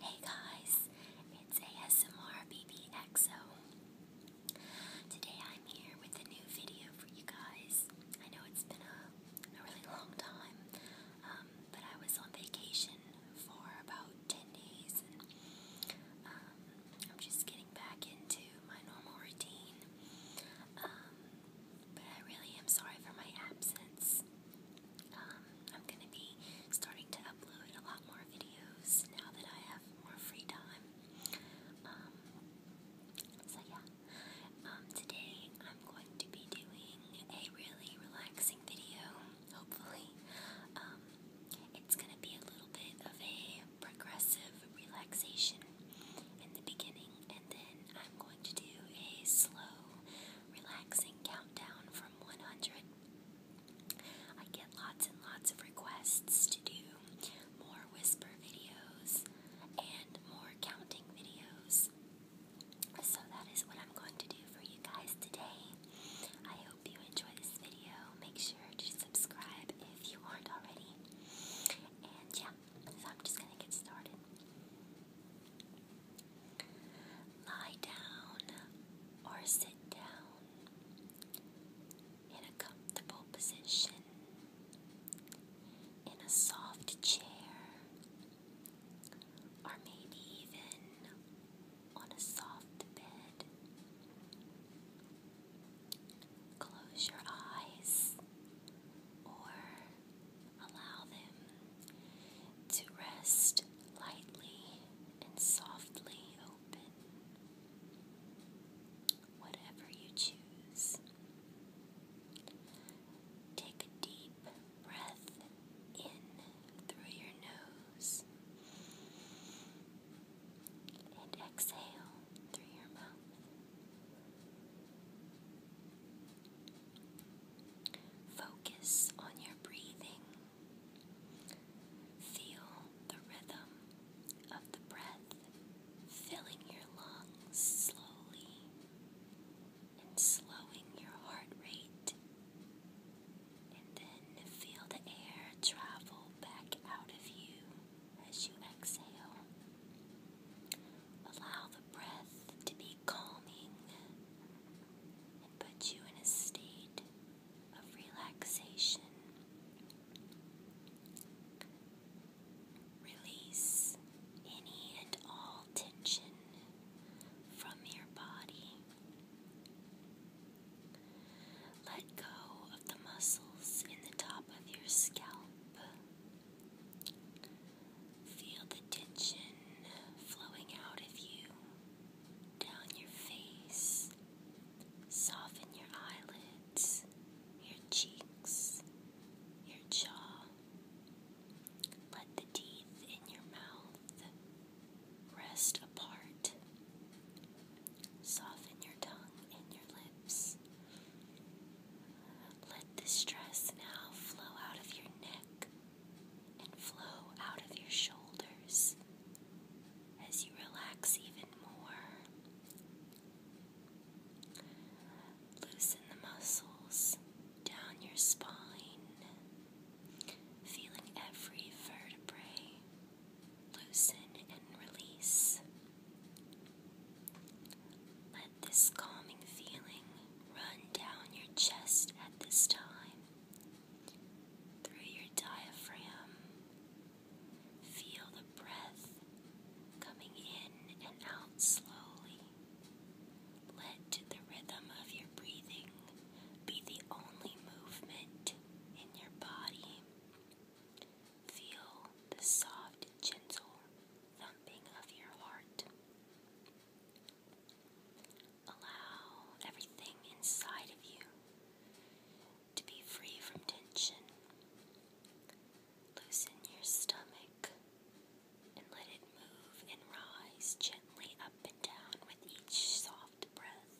Hey guys, it's ASMR BBXO. Today I'm here with a new video for you guys. I know it's been a, really long time, um, but I was on vacation for about 10 days and um, I'm just getting back into my normal routine. Um, but I really am sorry for my absence. Um, I'm going to be starting to upload a lot more videos now that I have more free time. Um, so, yeah. Um, today I'm going to be doing a really relaxing video, hopefully. it's going to be a little bit of a progressive relaxation in the beginning, and then I'm going to do a slow, relaxing countdown from. 100. I get lots and lots of requests to do more whisper videos and more counting videos. So that is what I'm going to do for you guys today. I hope you enjoy this video. Make sure to subscribe if you aren't already. And yeah, so I'm just gonna get started. Lie down or sit down in a comfortable position in a soft chair or maybe even on a soft bed. Close your eyes or Allow them to rest lightly and softly open. Whatever you choose. Take a deep breath in through your nose and exhale through your mouth. Focus on your breathing. Feel the rhythm of the breath filling your lungs slowly and slowing your heart rate. And then feel the air travel back out of you as you exhale. Allow the breath to be calming put you in a state of relaxation. Release any and all tension from your body. Let go of the muscles in the top of your scalp. Feel the tension flowing out of you down your face. Soften your eyelids, your cheeks, your jaw. Let the teeth in your mouth rest apart. Soften your tongue and your lips. Let the stress now flow out of your neck and flow out of your shoulders as you relax even more. Loosen the muscles down your spine, feeling every vertebrae loosen and release. Let this calming feeling run down your chest at this time, through your diaphragm. Feel the breath coming in and out slowly. Let the rhythm of your breathing be the only movement in your body. Feel the soft, gentle thumping of your heart. Allow everything inside of you to be free from tension. Loosen your stomach and let it move and rise gently up and down with each soft breath.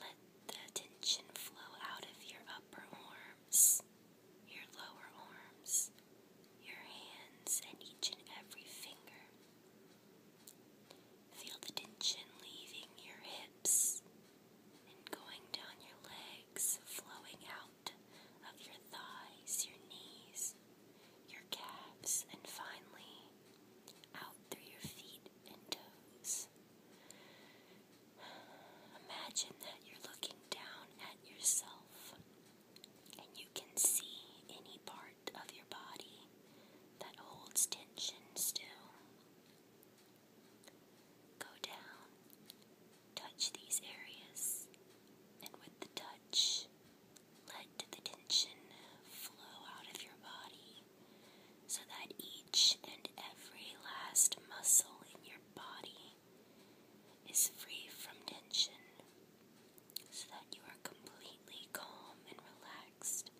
Let the tension flow out of your upper arms your lower arms, your hands, and each and every finger. Feel the tension leaving your hips and going down your legs, flowing out of your thighs, your knees, your calves, and finally out through your feet and toes. Imagine that you're looking down at yourself and you can see any part of your body that holds tension still. Go down, touch these areas, and with the touch, let the tension flow out of your body so that each and every last muscle in your body is free from tension so that you are completely calm and relaxed,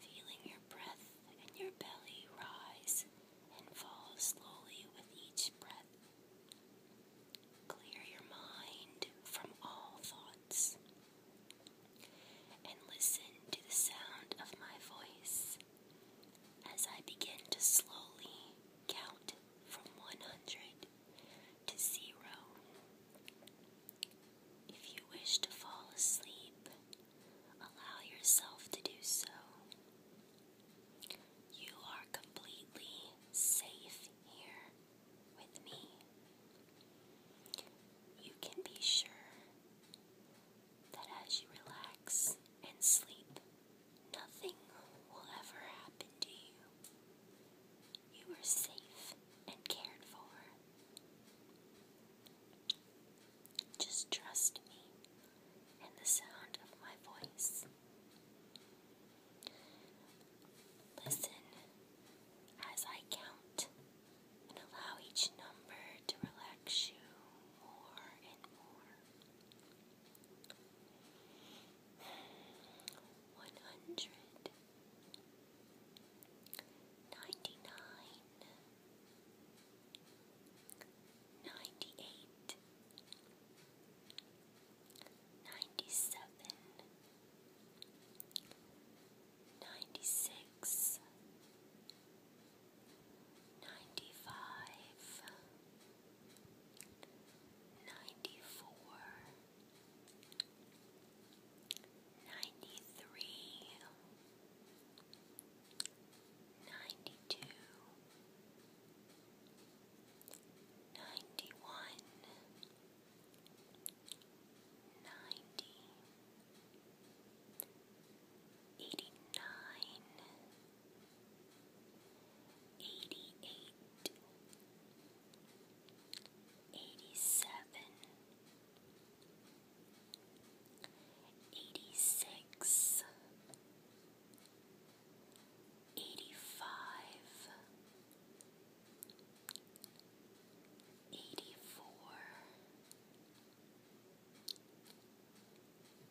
feeling your breath and your belly rise and fall slowly with each breath. Clear your mind from all thoughts and listen to the sound of my voice as I begin to slowly Count from 100 to 0. If you wish to fall asleep, allow yourself to do so. You are completely safe here with me. You can be sure that as you relax and sleep, Nothing will ever happen to you. You are safe and cared for. Just trust me and the sound of my voice. Listen as I count and allow each number to relax you more and more one hundred ninety nine ninety eight ninety seven ninety six ninety five ninety four, ninety three, ninety two, ninety one, ninety, eighty nine. 89 Eighty-eight, eighty-seven, eighty-six, eighty-five, eighty-four,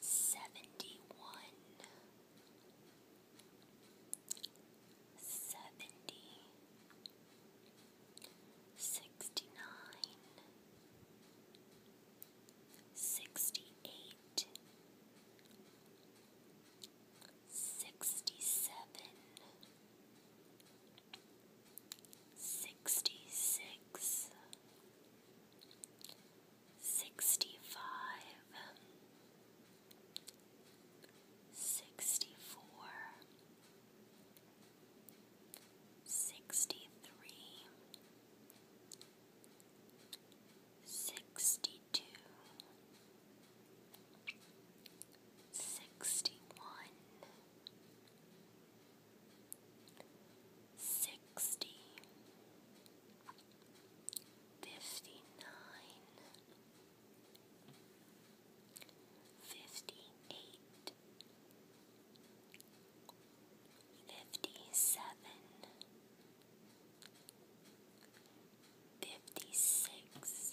seventy one, seventy, sixty nine, sixty eight, sixty seven. Sixty six, sixty five, sixty four, sixty three, sixty two. Sixty one, sixty, fifty nine, fifty eight, fifty seven, fifty six.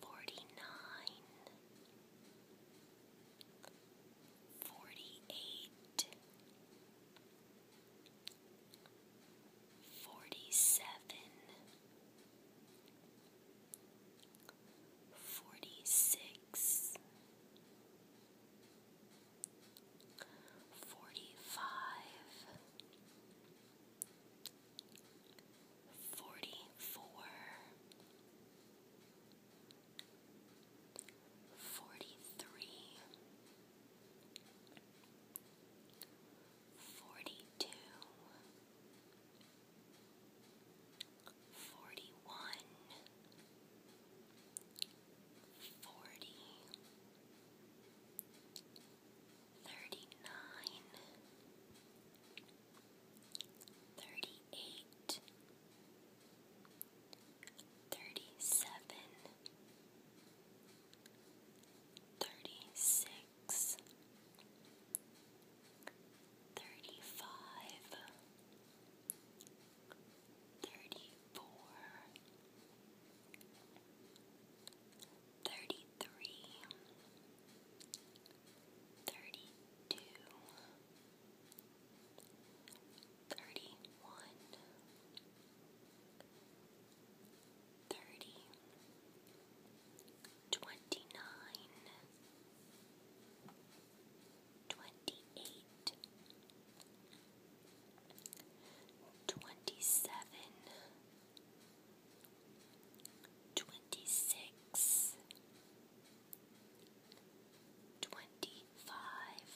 Forty-nine, forty-eight, forty-seven, forty-six, forty-five forty-four, forty-three, forty-two, forty-one, forty, thirty nine, thirty eight, thirty seven, thirty six, thirty five, thirty four thirty three, thirty two, thirty one, thirty, twenty nine, twenty eight, twenty seven twenty six, twenty five,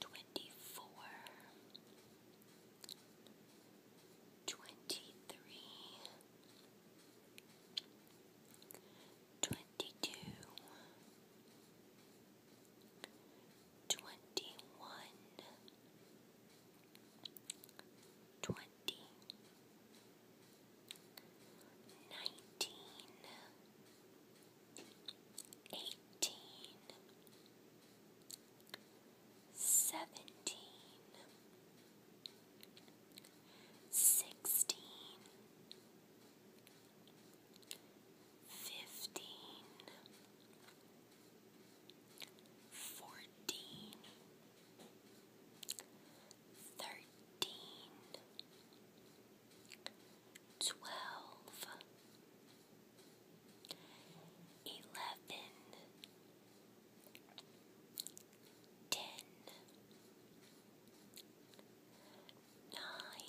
twenty four, twenty three, twenty two twenty one, twenty, nineteen, eighteen, seventeen, sixteen. Fifteen, fourteen, thirteen, twelve, eleven, ten, nine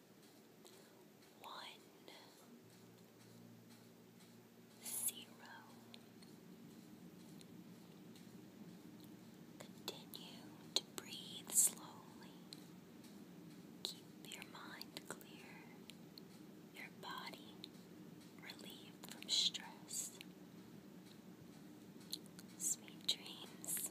one zero. Continue to breathe slowly. Keep your mind clear, your body relieved from stress. Sweet dreams.